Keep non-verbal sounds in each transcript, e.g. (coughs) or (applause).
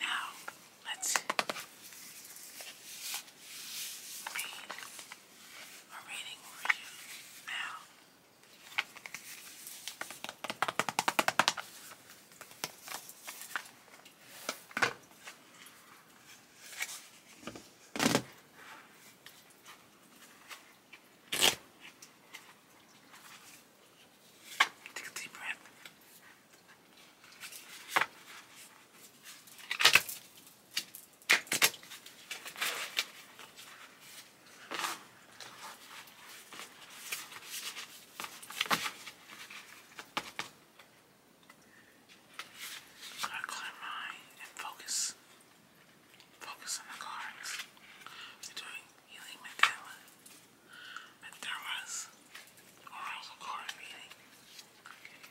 Now, let's read a reading for you now. Take a deep breath. Gotta clear my mind and focus. Focus on the cards. doing healing mandala but there was, or I was recording meeting. Okay.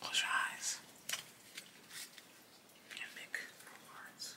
Close your eyes make rewards.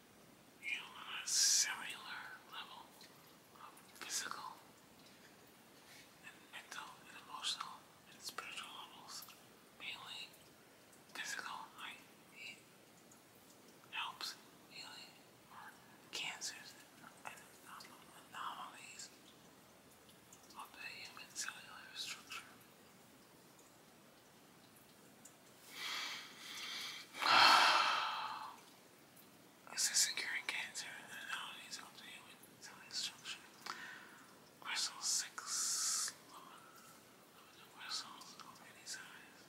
on a cellular level of physical and mental and emotional and spiritual levels, mainly physical, like helps healing cancers and anomalies of the human cellular structure. (sighs) Is this curing cancer and how it is obtained with cell destruction? Crystal 6 limited crystals of any size.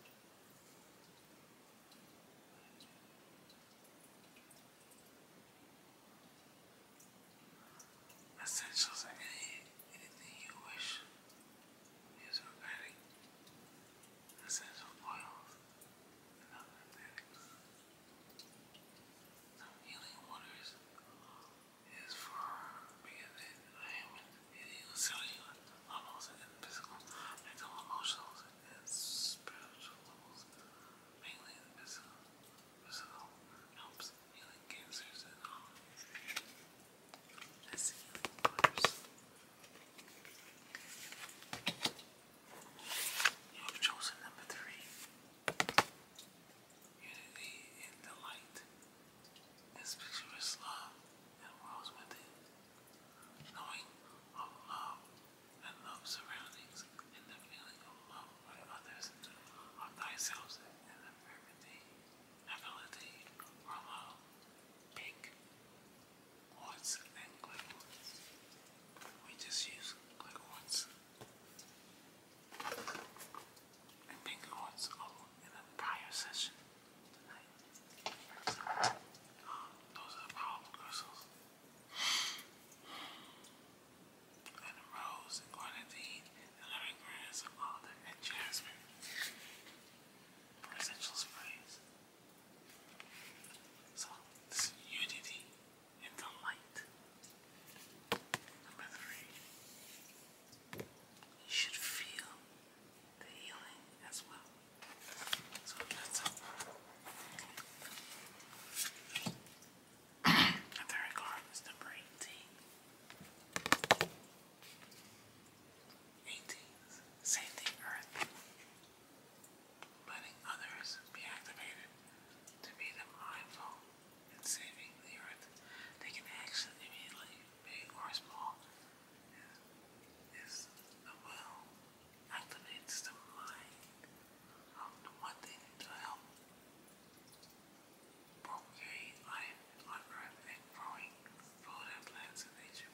Essentials any anything you wish using bedding, healing waters is for because it, heals cellular levels and physical, mental, emotional, and spiritual levels, mainly in physical. Physical helps healing cancers and all as You have chosen number three. Unity in the light. This pictures love and worlds within. Knowing of love and love surroundings and the feeling of love by others, of thyself and the perfect ability or pink quartz and clay We just use clay and pink quartz all in the prior session tonight. Um, those are the problem crystals. And rose and grenadine and lemongrass and alder and jasmine for sprays. So this unity in the light. Number three. You should feel the healing as well. So that's it. (coughs) the record is 18th, save the earth, letting others be activated to be the mindful in saving the earth. Taking action immediately, big or small, is the will activates the mind of the one thing to help propagate life on earth and growing food and plants in nature.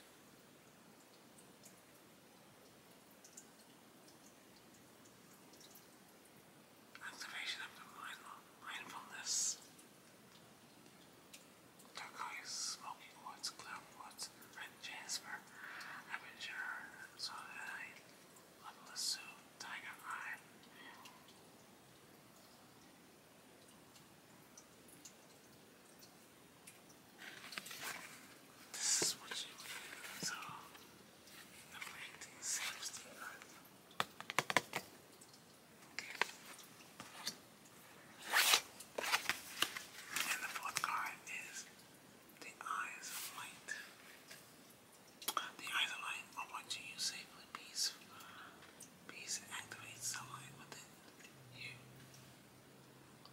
Activation of the mind mindfulness. Turquoise, smoking woods, cloud woods, red jasper, aperture, so that I level a tiger eye, this is what you do so neglecting seems to earth. And the fourth card is the eyes of light. The either light on which you safely peace, peace activates the light within you.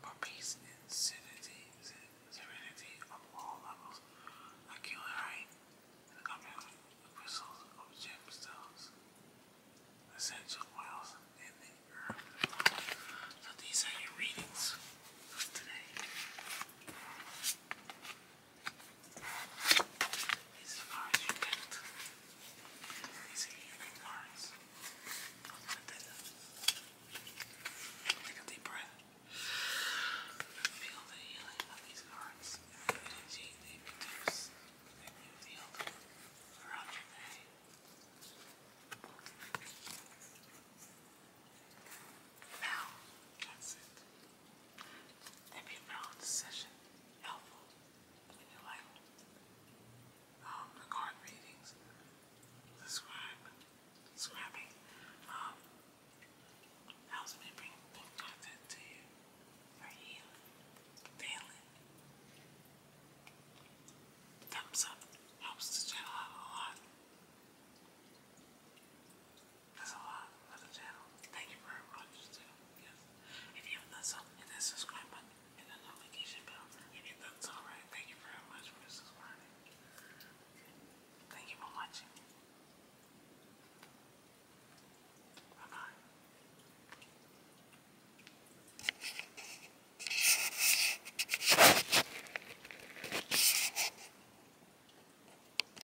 For peace and serenity, serenity of all levels, accumulate the company of crystals of gemstones, essential oils, and the earth. So these are your readings today as you Take a deep breath. Feel the healing of these cards. The energy they feel throughout your day. Now, that's it. If you found this session helpful in your life, um, readings, subscribe, subscribing, um, helps me bring good content to you for healing, daily. Thumbs up helps the channel out a lot. That's a lot for the channel. Thank you very much Yes. If you haven't done so, hit that subscribe button and the notification bell. If you've done so right, thank you very much for subscribing. Thank you for watching. bye.